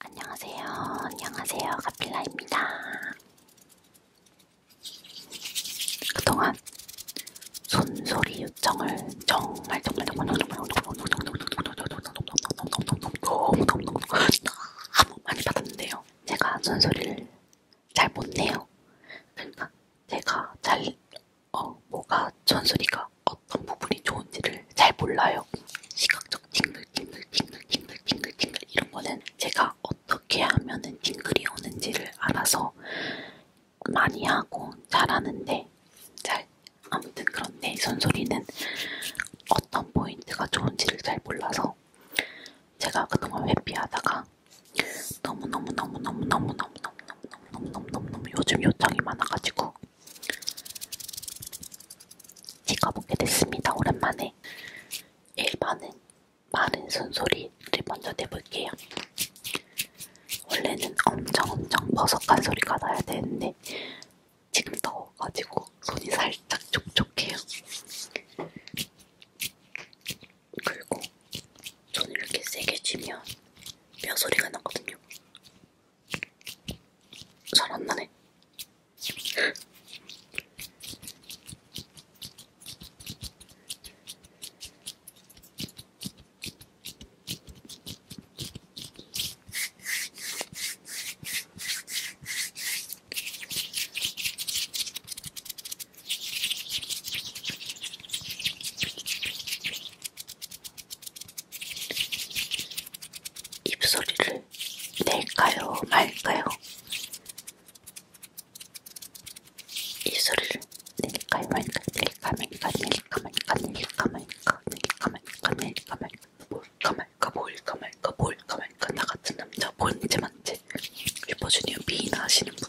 안녕하세요. 안녕하세요. 가필라입니다. 그동안 손소리 요청을 정말 정말 정말 정말 너무 많이 받았는데요. 제가 손소리를 잘못 내요. 그러니까 제가 잘 어, 뭐가 손소리가 어떤 부분이 좋은지를 잘 몰라요. 시각 징글 징글 징글 징글 징글 징글 이런 거는 제가 어떻게 하면은 징글이 오는지를 알아서 많이 하고 잘하는데 잘 아무튼 그런데 손소리는 어떤 포인트가 좋은지를 잘 몰라서 제가 그동안 회피하다가 너무 너무 너무 너무 너무 너무 너무 너무 너무 너무 너무 요즘 요청이 많아가지고 찍어보게 됐습니다. 오랜만에 1번은 마른 숨소리를 먼저 내볼게요. 원래는 엄청 엄청 버석한 소리가 나야 되는데 지금 더워가지고 손이 살짝 촉촉해요. 그리고 손을 이렇게 세게 쥐면 뼈 소리가 나거든요. 잘안 나네. 입소리를 낼까요, 말까요? 입소리를 낼까요, 말까요? 낼까, 말까, 낼까, 말까, 낼까, 말까, 낼까, 말까, 낼까, 말까, 뭘까, 말까, 뭘까, 말까, 뭘까, 말까, 나 같은 남자, 뭔지, 만지. 슈퍼주니어 미나 하시는 분.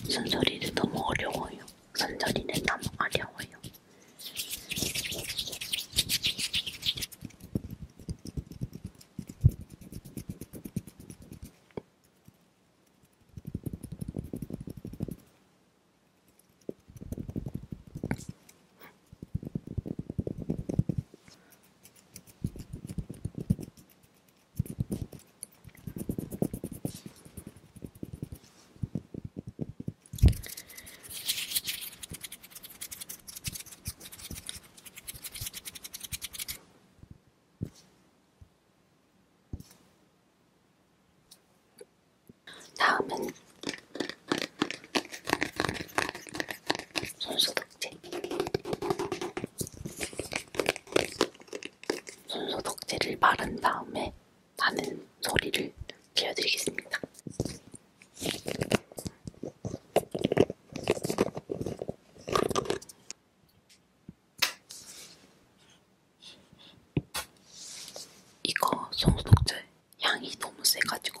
손소리도 너무 어려워요. 손소리는 너무 어려워요. 다음은 손수건. 손소독제를 바른 다음에 나는 소리를 들려드리겠습니다. 이거 손소독제 향이 너무 세가지고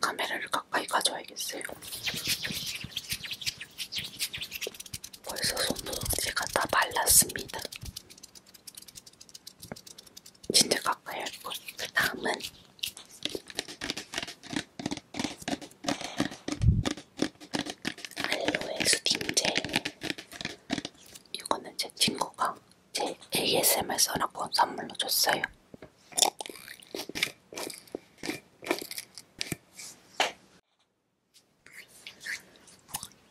카메라를 가까이 가져야겠어요. 벌써 손도 제가 다 말랐습니다. 진짜 가까이 할 것. 그 다음은 알로에 수딩젤. 이거는 제 친구가 제 ASMR 써라고 선물로 줬어요.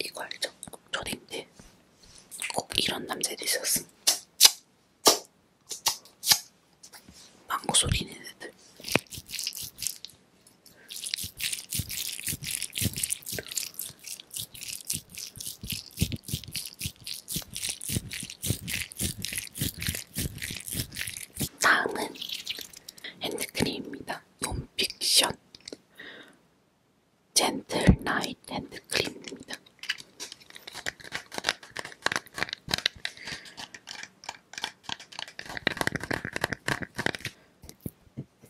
이거 알죠? 초딩 때꼭 이런 남자도 있었어. 망고 소리는 애들. 다음은 핸드크림입니다. 논픽션 젠틀 나이트 핸드크림입니다.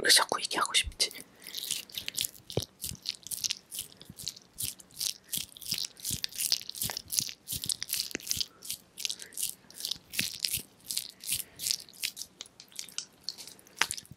왜 자꾸 얘기하고 싶지?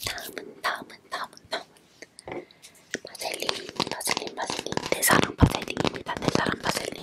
다음은 다음은 다음은 다음은 바셀린 바셀린 바셀린 내 사랑 바셀린입니다. 내 사랑 바셀린.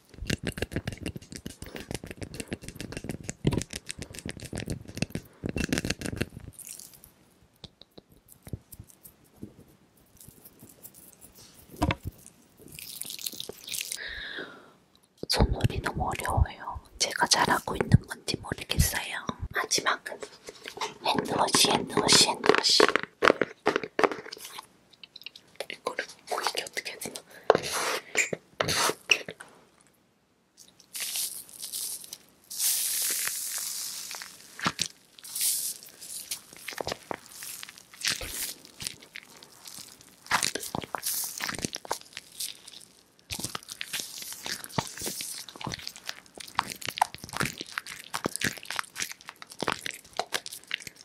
손놀이 너무 어려워요. 제가 잘하고 있는 건지 모르겠어요. 마지막은 핸드워시 핸드워시 핸드워시 이거를 보이게 어떻게 해야 되나?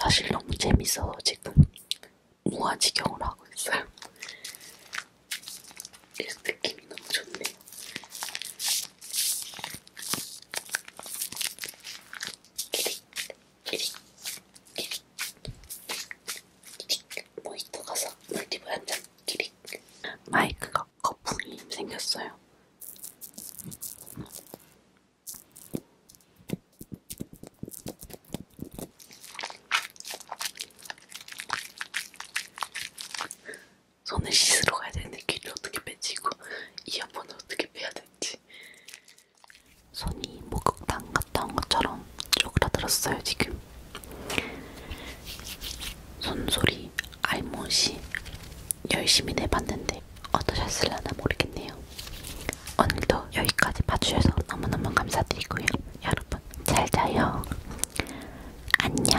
사실 너무 재밌어서 지금 무아지경을 하고 있어요. 느낌이 너무 좋네요. 모히또 가서 물티브 한잔 기릭 마이크가 거품이 생겼어요. 손을 씻으러 가야 되는데 귀를 어떻게 빼지고 이어폰을 어떻게 빼야 될지 어떡하지? 손이 목욕탕 갔다 온 것처럼 쪼그라들었어요 지금. 손소리 알못이 열심히 내봤는데 어떠셨을라나 모르겠네요. 오늘도 여기까지 봐주셔서 너무너무 감사드리고요. 여러분 잘 자요. 안녕.